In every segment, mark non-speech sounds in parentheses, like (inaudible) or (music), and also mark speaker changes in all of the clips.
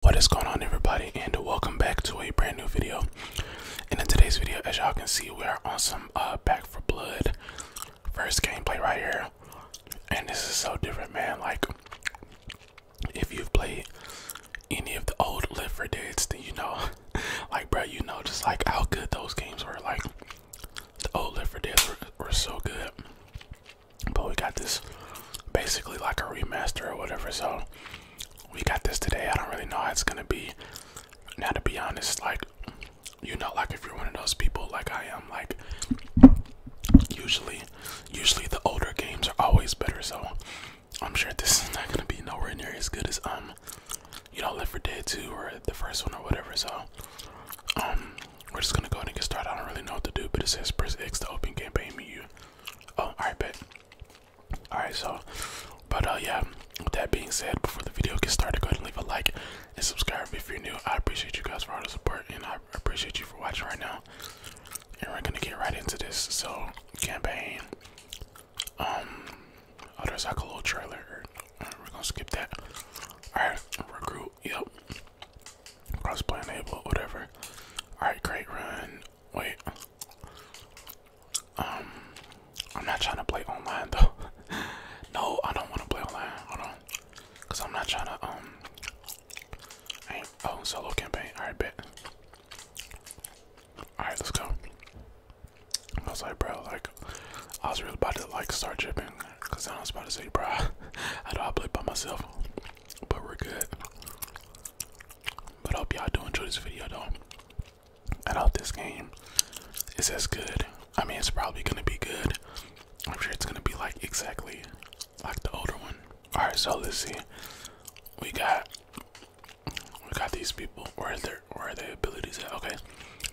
Speaker 1: What is going on everybody and welcome back to a brand new video. And in today's video, as y'all can see, we are on some uh, Back for Blood first gameplay right here. And this is so different, man. Like, if you've played any of the old Live for Deads, then you know, (laughs) like, bro, you know just like how good those games were. Like, the old Live for Deads were, were so good. But we got this basically like a remaster or whatever. So we got this today. I don't really know how it's gonna be. Now to be honest, like you know, like if you're one of those people like I am, like usually usually the older games are always better, so I'm sure this is not gonna be nowhere near as good as um you know Live for Dead 2 or the first one or whatever, so um we're just gonna go ahead and get started. I don't really know what to do, but it says press X to open campaign menu. Oh, alright, bet. Alright, so, but uh, yeah, with that being said, before the video gets started, go ahead and leave a like and subscribe if you're new. I appreciate you guys for all the support and I appreciate you for watching right now. And we're gonna get right into this. So, campaign. Um, oh, there's like a little trailer. we're gonna skip that. Alright, recruit, yep. Crossplay enable, whatever. Alright, great run. Wait. Um, I'm not trying to play online though. (laughs) no, I don't want to play online. Hold on, cause I'm not trying to um. I ain't, oh, solo campaign. All right, bet. All right, let's go. I was like, bro, like, I was really about to like start tripping, cause I was about to say, bro, (laughs) I do I play by myself? But we're good. But I hope y'all do enjoy this video though. I hope this game is as good. I mean, it's probably gonna be good. I'm sure it's gonna be like exactly like the older one. All right, so let's see. We got we got these people. Where are their where are their abilities at? Okay,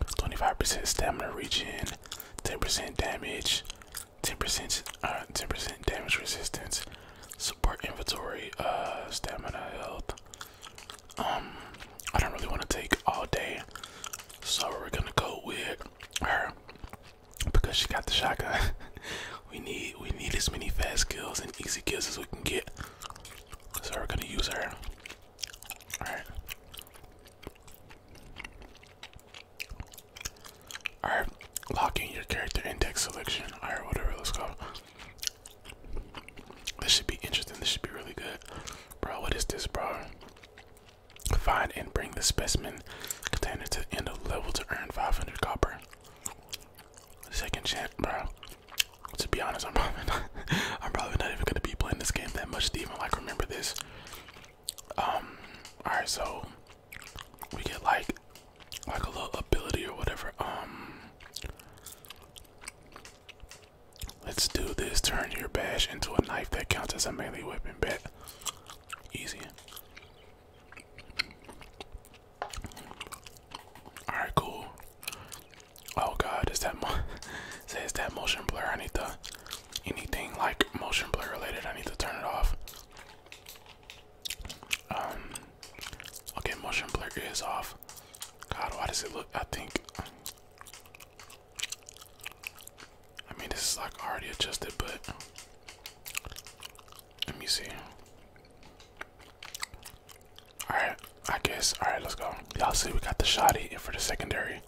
Speaker 1: 25% stamina regen, 10% damage, 10% 10% uh, damage resistance, support inventory, uh, stamina, health. Um, I don't really want to take all day, so we're gonna go with her because she got the shotgun. (laughs) we need we need as many fast kills and easy kills as we can get, so we're gonna use her. All right. Alright, lock in your character index selection. Alright, whatever, let's go. This should be interesting. This should be really good. Bro, what is this, bro? Find and bring the specimen container to end of level to earn 500 copper. Second chance, bro. To be honest, I'm (laughs) probably not, I'm probably not even gonna be playing this game that much to even like remember this. Um, alright, so we get like like a little ability or whatever. Um, let's do this. Turn your bash into a knife that counts as a melee weapon. Bet. Easy. Alright, cool. Oh god, is that mo (laughs) says that motion blur? I need to anything like motion blur related, I need to turn it off. Um, okay, motion blur is off. God, why does it look? I think. I mean, this is like already adjusted, but let me see. All right, I guess. All right, let's go. Y'all see, we got the shotty for the secondary,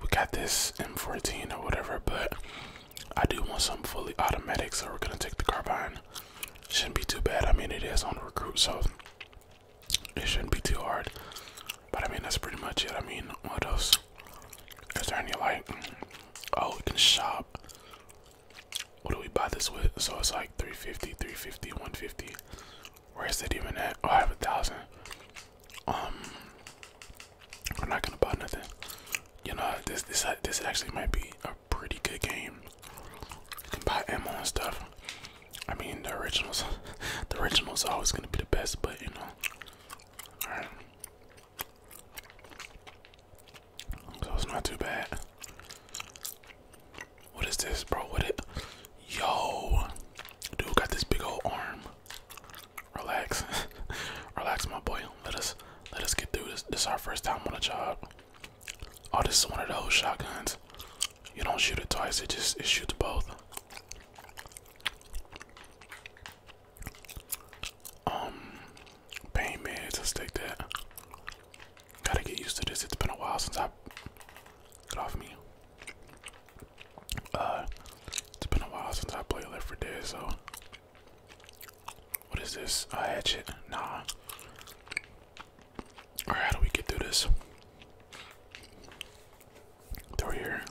Speaker 1: we got this M14 or whatever, but I do want some fully automatic, so we're gonna take the carbine. Shouldn't be too bad. I mean, it is on the recruit, so it shouldn't be too hard. But I mean, that's pretty much it. I mean, what else? Is there any like? Oh, we can shop. What do we buy this with? So it's like 350, 350, 150. Where is it even at? Oh, I have a thousand. Um, we're not gonna buy nothing. You know this this this actually might be a pretty good game. You can buy ammo and stuff. I mean the originals, (laughs) the originals are always gonna be the best, but you know. All right. So it's not too bad. What is this, bro? What it? Yo, dude got this big old arm relax, (laughs) relax, my boy. Let us let us get through this. This is our first time on the job. Oh, this is one of those shotguns. You don't shoot it twice. It just it shoots both. Um, pain meds. Let's take that. Gotta get used to this. It's been a while since I get off me. Uh, it's been a while since I played Left 4 Dead, so what is this? A hatchet? Nah. Alright, how do we get through this? Through here.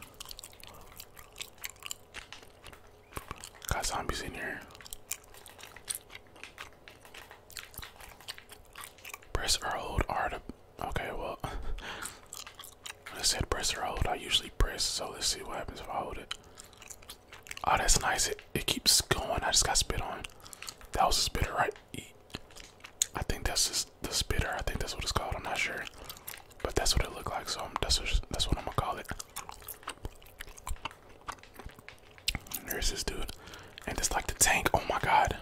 Speaker 1: Got zombies in here. Press or hold R Okay, well. (laughs) I said press or hold. I usually press, so let's see what happens if I hold it. Oh, that's nice. It, keeps going. I just got spit on. That was a spitter, right? I think that's just the spitter. I think that's what it's called. I'm not sure, but that's what it looked like. So that's what, I'm gonna call it. There's this dude, and it's like the tank. Oh my god.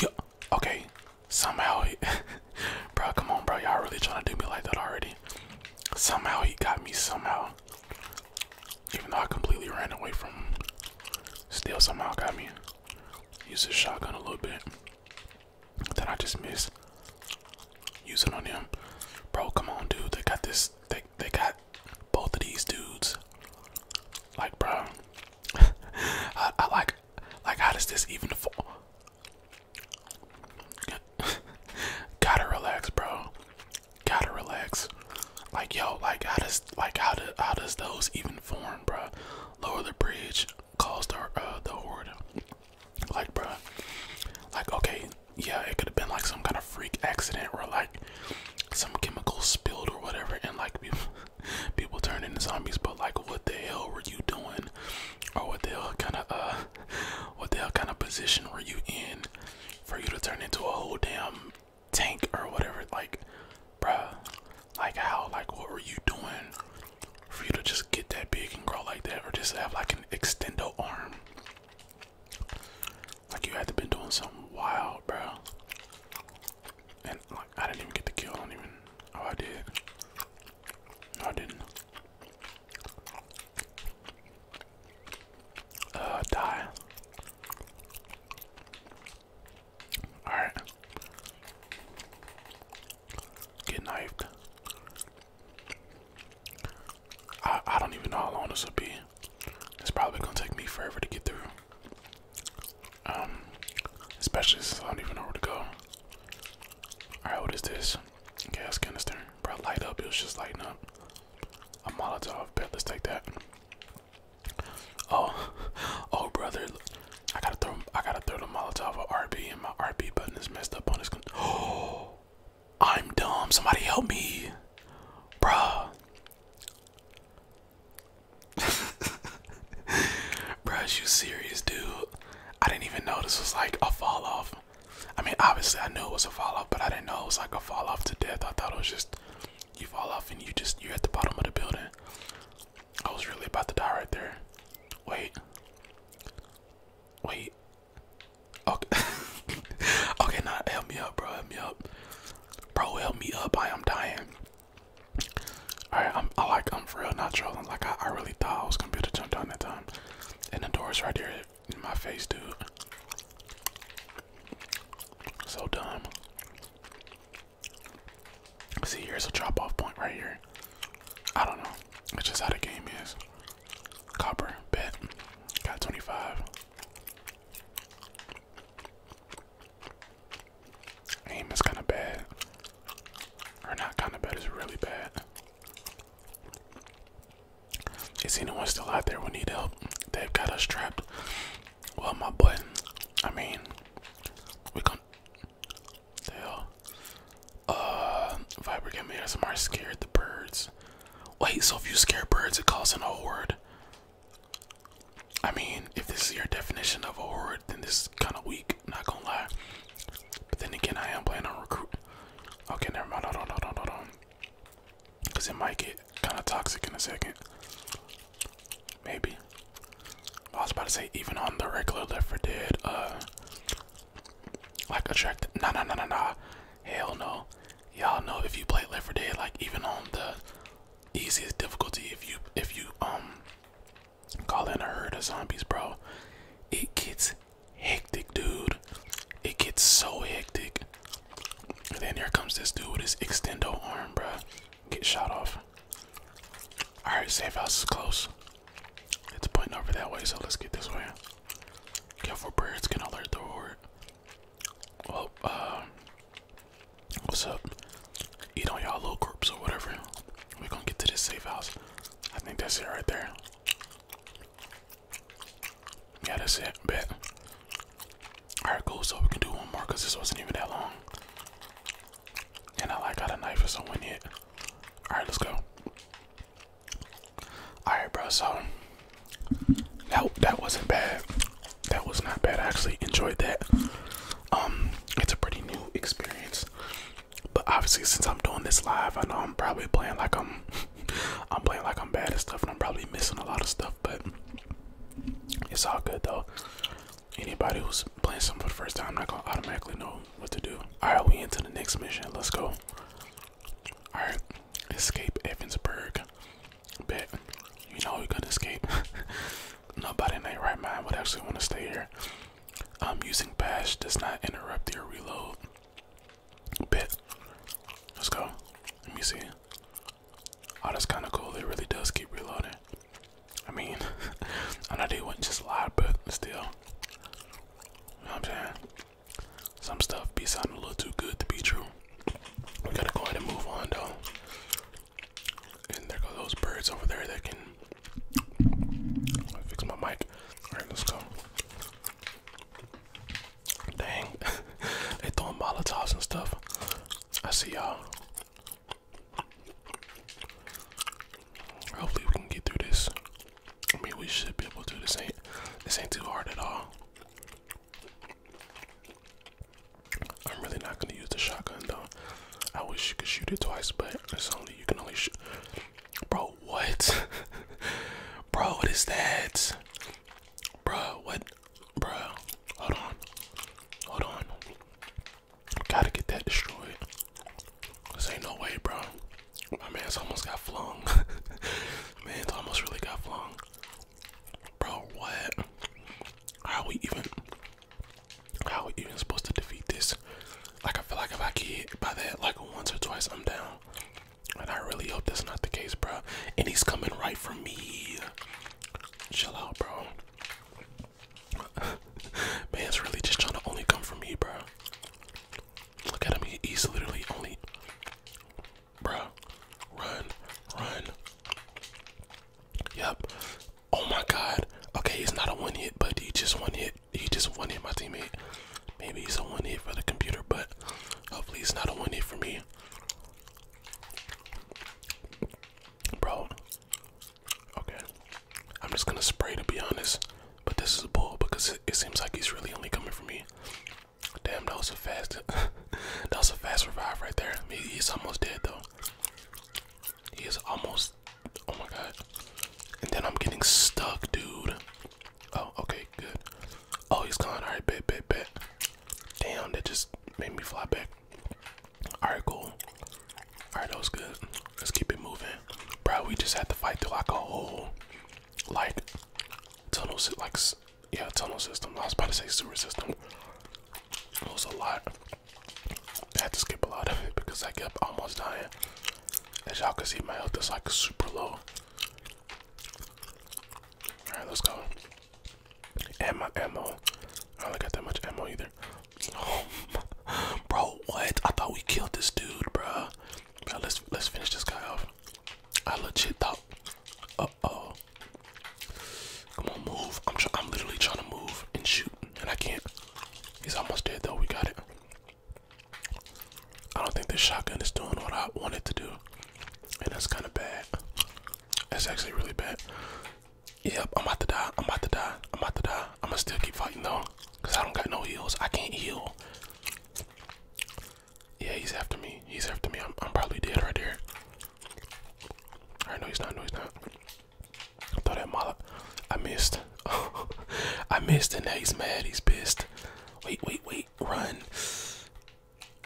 Speaker 1: Yeah. Okay. Somehow, (laughs) bro. Come on, bro. Y'all really trying to do me like that already? Somehow he got me somehow. Even though I completely ran away from him. Still somehow got me. Use his shotgun a little bit. Then I just missed. Use it on him. Bro, come on dude. They got this they they got both of these dudes. Like bro. (laughs) I like like how does this even fall (laughs) Gotta relax, bro. Gotta relax. Like yo, like how does like how do, how does those even form, bro? Lower the bridge, cause the uh, the horde. Like, bro. Like, okay, yeah, it could have been like some kind of freak accident or like some chemical spilled or whatever, and like people, (laughs) people turned into zombies. But like, what the hell were you doing? Or what the hell kind of uh (laughs) what the hell kind of position were you in for you to turn into a whole damn tank or whatever? Like, bruh, like how, like, what were you doing for you to just get that big and grow like that, or just have like an extendo arm? Like, you had to be doing something wild, bro. And like, I didn't even get the kill. I don't even. Oh, I did. No, I didn't. Uh, die. Alright. Get knifed. I, I don't even know how long this will be. It's probably gonna take me forever to get through. Um, especially since I don't even know where to go. Alright, what is this? gas canister, bro. Light up. It was just lighting up. A Molotov. Bet. Let's take that. Oh, (laughs) oh, brother. I gotta throw. I gotta throw the Molotov at RB, and my RB button is messed up on this. Oh, (gasps) I'm dumb. Somebody help me, bruh. (laughs) bruh, you serious, dude? I didn't even know this was like a fall off. I mean, obviously, I knew it was a fall off, but I didn't know it was like a fall off to death. I thought it was just you fall off and you just you're at the bottom of the building. I was really about to die right there. Wait, wait. Okay, (laughs) okay. Now nah, help me up, bro. Help me up, bro. Help me up. I am dying. All right, I'm. I like. I'm for real not trolling. Like I, really thought I was gonna be able to jump down that time. And the door's right there in my face, dude. So dumb. See, here's a drop off point right here. I don't know. It's just how the game is. Copper, bet. Got 25. Aim is kind of bad. Or not kind of bad, it's really bad. Is anyone still out there We need help? They've got us trapped. Well, my boy, I mean, we can. The hell? Uh, me Game ASMR scared the birds. Wait, so if you scare birds, it calls in a horde? I mean, if this is your definition of a horde, then this is kind of weak, not gonna lie. But then again, I am playing on recruit. Okay, never mind. Hold on, hold on, hold on. Because it might get kind of toxic in a second. Maybe. I was about to say, even on the regular Left 4 Dead, uh, like attracted. Nah, nah, nah, nah, nah. Hell no. Y'all know if you play Left 4 Dead, like even on the easiest difficulty, if you if you um call in a herd of zombies, bro, it gets hectic, dude. It gets so hectic. And then here comes this dude with his extendo arm, bruh. Get shot off. Alright, safe house is close. It's pointing over that way, so let's get this way. Careful, birds can alert the horde. Well, uh, what's up? Eat on y'all little corpse or whatever. We're gonna get to this safe house. I think that's it right there. Yeah, that's it. Bet. Alright, cool. So we can do one more because this wasn't even that long. And I like got a knife is so someone it. Alright, let's go. Alright, bro. So that, that wasn't bad. That was not bad. I actually enjoyed that. Um, it's a pretty new experience. But obviously, since I'm doing this live, I know I'm probably playing like I'm, (laughs) I'm playing like I'm bad at stuff, and I'm probably missing a lot of stuff. But it's all good though. Anybody who's playing something for the first time, not gonna automatically know what to do. All right, we into the next mission. Let's go. All right, escape Evansburg. Bet you know we are gonna escape. (laughs) Nobody in their right mind would actually want to stay here. I'm using bash does not interrupt your reload. Bit. Let's go. Let me see. Oh, that's kind of cool. It really does keep reloading. I mean, (laughs) I know they wouldn't just lie, but still. I'm saying? Some stuff be sounding a little too good to be true. We gotta go ahead and move on, though. And there go those birds over there that can fix my mic. All right, let's go. Dang, (laughs) they throwing Molotovs and stuff. I see y'all. Hopefully we can get through this. I mean, we should be able to. do This ain't this ain't too hard at all. I'm really not gonna use the shotgun though. I wish you could shoot it twice, but it's only you can only shoot. Bro, what? (laughs) bro, what is that? Bro, what? Bro, hold on. Hold on. Gotta get that destroyed. This ain't no way, bro. My man's almost got flung. (laughs) man's almost really got flung. Bro, what? How we even? How we even supposed to defeat this? Like I feel like if I get by that like once or twice, I'm down. And I really hope that's not the case, bro. And he's coming right for me. Chill out, bro. (laughs) Man's really just trying to only come for me, bro. Look at him. He's literally only. bro. run, run. Yep. Oh my god. Okay, he's not a one hit, but he just one hit. He just one hit my teammate. Maybe he's a one hit for the computer, but hopefully it's not a one hit for me. Bro. Okay. I'm just gonna spray to be honest. But this is a bull because it, seems like he's really only coming for me. Damn, that was a fast (laughs) that was a fast revive right there. he's almost dead though. He is almost Oh my god. And then I'm getting stuck, dude. Oh, okay, good. Oh, he's gone. Alright, bit, bit, bit. Damn, that just made me fly back. Alright, cool. Alright, that was good. Let's keep it moving. Bro, we just had to fight through lock a whole, like, tunnel, like, yeah, tunnel system. I was about to say sewer system. It was a lot. I had to skip a lot of it because I kept almost dying. As y'all can see, my health is like super low. Alright, let's go. And my ammo. I don't got that much ammo either. (laughs) bro, what? I thought we killed this dude, bro. bro let's let's finish this guy off. I legit thought. Uh oh. Come on, move. I'm try I'm literally trying to move and shoot, and I can't. He's almost dead though. We got it. I don't think this shotgun is doing what I want it to do. And that's kind of bad. That's actually really bad. Yep, I'm about to die. I'm about to die. I'm about to die. I'm gonna still keep fighting though. Because I don't got no heals. I can't heal. Yeah, he's after me. He's after me. I'm, probably dead right there. no, he's not. No, he's not. I that molly. I missed. (laughs) I missed and he's mad. He's pissed. Wait, wait, wait. Run.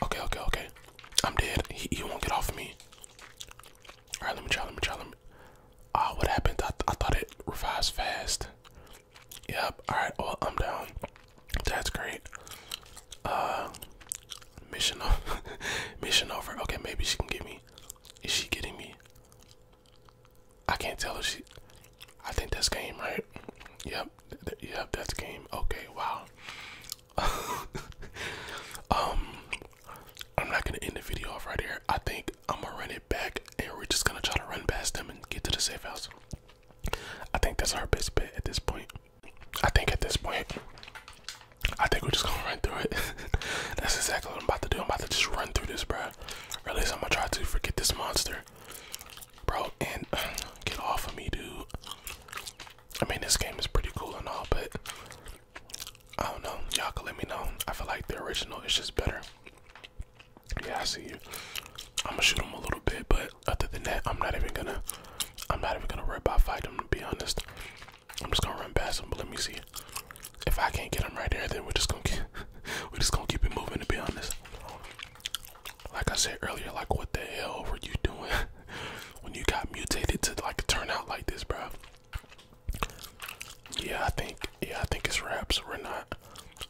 Speaker 1: Okay, okay, okay. I'm dead. He, won't get off of me. All right, let me try. Let me try. Let me. Ah, what happened? I, I thought it revives fast. Yep. All right. Well, I'm down. That's great. Uh, mission over. (laughs) mission over. Okay, maybe she can get me. Is she getting me? I can't tell if she. I think that's game, right? Yep, yep, that's game. Okay, wow. (laughs) um, I'm not gonna end the video off right here. I think I'm gonna run it back, and we're just gonna try to run past them and get to the safe house. I think that's our best bet at this point. I think at this point, I think we're just gonna run through it. (laughs) that's exactly what I'm about to do. I'm about to just run through this, bro at least I'm gonna try to forget this monster. Bro, and uh, get off of me, dude. I mean, this game is pretty cool and all, but I don't know. Y'all can let me know. I feel like the original is just better. Yeah, I see you. I'm gonna shoot him a little bit, but other than that, I'm not even gonna. I'm not even gonna worry about fighting him. To be honest, I'm just gonna run past him. But let me see if I can't get them right there, then we're just gonna keep, (laughs) we're just gonna keep it moving. To be honest, like I said earlier, like what the hell were you doing (laughs) when you got mutated to like turn out like this, bro? Yeah, I think yeah, I think it's wraps. We're not.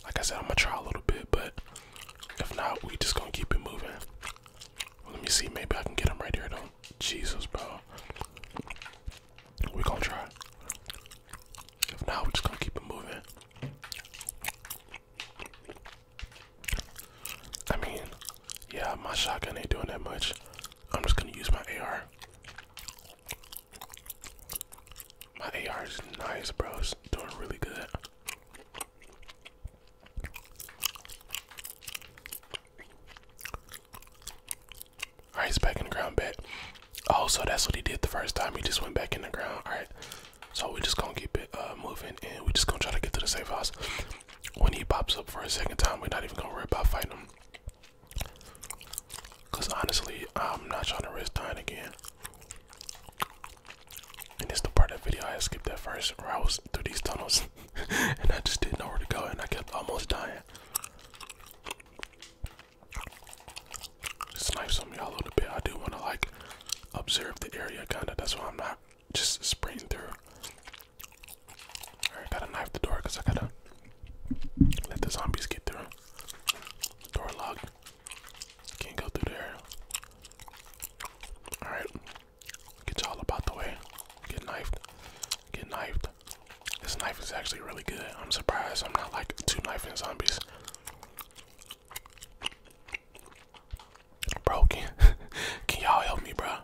Speaker 1: Like I said, I'm gonna try a little bit, but if not, we just gonna keep it moving. let me see. Maybe I can get them right here, though. Jesus, bro. We're gonna try. If not, we're just gonna keep it moving. I mean, yeah, my shotgun ain't doing that much. I'm just gonna use my AR. My AR is nice, bros. doing really good. Alright, he's back in the ground, bet. Also, oh, that's what he did the first time. He just went back in the ground. Alright. So we just gonna keep it uh, moving and we just gonna try to get to the safe house. When he pops up for a second time, we're not even gonna worry about fighting him. Cause honestly, I'm not trying to risk dying again. And it's the part of the video I skipped that first where I was through these tunnels (laughs) and I just didn't know where to go and I kept almost dying. Snipes on y'all a little bit. I do want to like observe the area, kinda. That's why I'm not just spraying through. Alright, gotta knife the door because I gotta let the zombies get through. Door locked. Can't go through there. Alright. Get y'all about the way. Get knifed. Get knifed. This knife is actually really good. I'm surprised I'm not like two knife and zombies. Bro, (laughs) can, y'all help me, bro?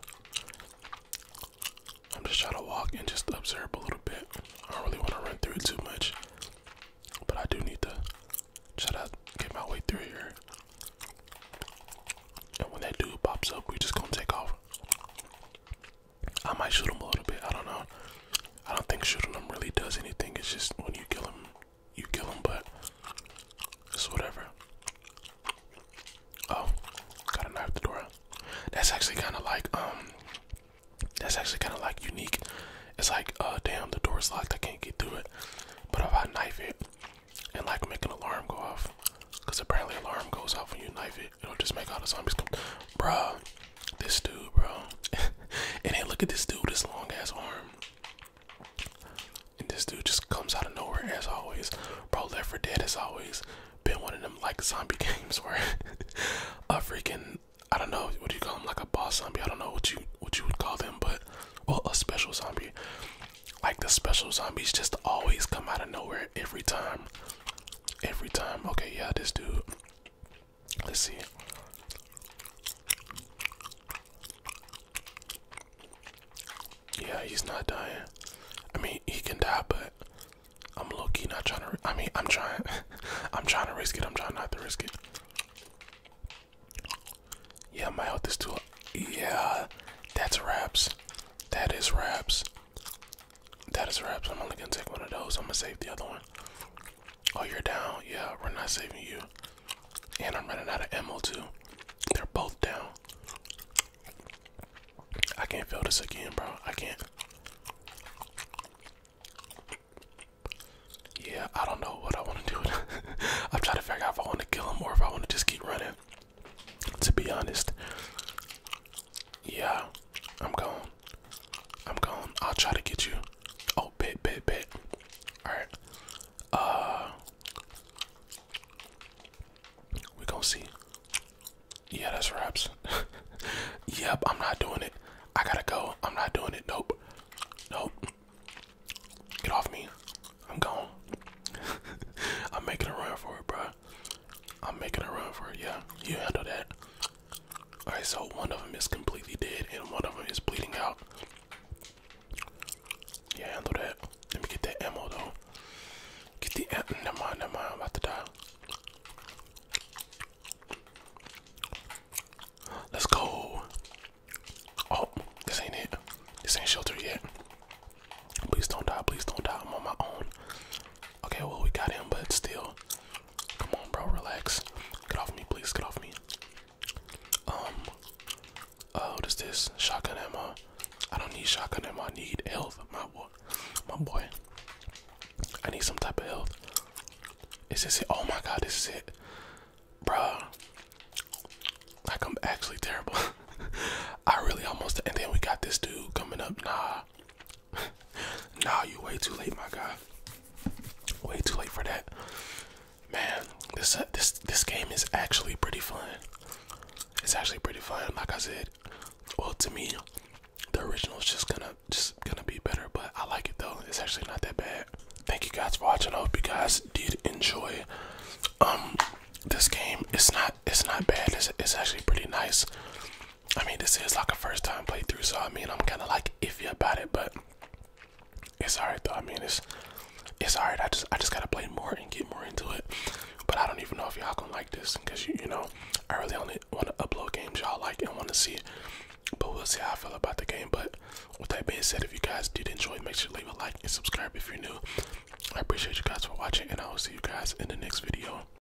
Speaker 1: I'm just trying to walk and just observe a little bit. I don't really want to run through it too much, but I do need to try to get my way through here. And when that dude pops up, we are just gonna take off. I might shoot him a little bit. I don't know. I don't think shooting him really does anything. It's just when you kill him, you kill him, but it's whatever. Oh, got a knife the door. That's actually kind of like, um, that's actually kind of like unique. It's like, uh, damn, the door's locked. I can't get through it. But if I knife it and like make an alarm go off, because apparently alarm goes off when you knife it it'll just make all the zombies come. Bruh, this dude, bro. (laughs) and look at this dude, this long ass arm. And this dude just comes out of nowhere as always. Bro, Left 4 Dead has always been one of them like zombie (laughs) games where a freaking I don't know what do you call them like a boss zombie. I don't know what you what you would call them, but well a special zombie. Like the special zombies just always come out of nowhere every time. Every time. Okay, yeah, this dude Let's see. Yeah, he's not dying. I mean, he can die, but I'm low key not trying to. I mean, I'm trying. (laughs) I'm trying to risk it. I'm trying not to risk it. Yeah, my health is too. Yeah, that's raps. That is raps. That is wraps. I'm only gonna take one of those. I'm gonna save the other one. Oh, you're down. Yeah, we're not saving you. And I'm running out of ammo too. They're both down. I can't fail this again, bro. I can't. Yeah, I don't know what I want to do. (laughs) I'm trying to figure out if I want to kill him or if I want to just keep running. To be honest, yeah, I'm gone. I'm gone. I'll try to get you. Oh, bit, bit, bit. All right. Uh, we gonna see. Yeah, that's wraps. (laughs) yep, I'm not doing it. I gotta go. I'm not doing it. Nope. Nope. Get off me. I'm gone. (laughs) I'm making a run for it, bro. I'm making a run for it. Yeah, you handle that. Alright, so one of them is completely dead and one of them is bleeding out. Yeah, handle that. Let me get that ammo though. Get the ammo. Never mind, never mind. I'm about to die. Let's go. Oh, this ain't it. This ain't shelter yet. Please don't die. Please don't die. I'm on my own. Okay, well, we got him, but still, Come on, bro, relax. Get off me, please. Get off me. Um, uh, what is this? Shotgun Emma. I don't need shotgun Emma. I need health. My boy. My boy. I need some type of health. Is this it? Oh my god, this is it. bro? Like, I'm actually terrible. (laughs) I really almost. And then we got this dude coming up. Nah. (laughs) No, you way too late, my guy. Way too late for that. Man, this uh, this this game is actually pretty fun. It's actually pretty fun. Like I said, well to me, the original is just gonna just gonna be better. But I like it though. It's actually not that bad. Thank you guys for watching. I hope you guys did enjoy. Um, this game it's not it's not bad. It's it's actually pretty nice. I mean, this is like a first time playthrough, so I mean, I'm kind of like iffy about it, but it's alright though. I mean, it's it's alright. I just I just gotta play more and get more into it. But I don't even know if y'all gonna like this, cause you you know I really only want to upload games y'all like and want to see. But we'll see how I feel about the game. But with that being said, if you guys did enjoy, make sure to leave a like and subscribe if you're new. I appreciate you guys for watching, and I will see you guys in the next video.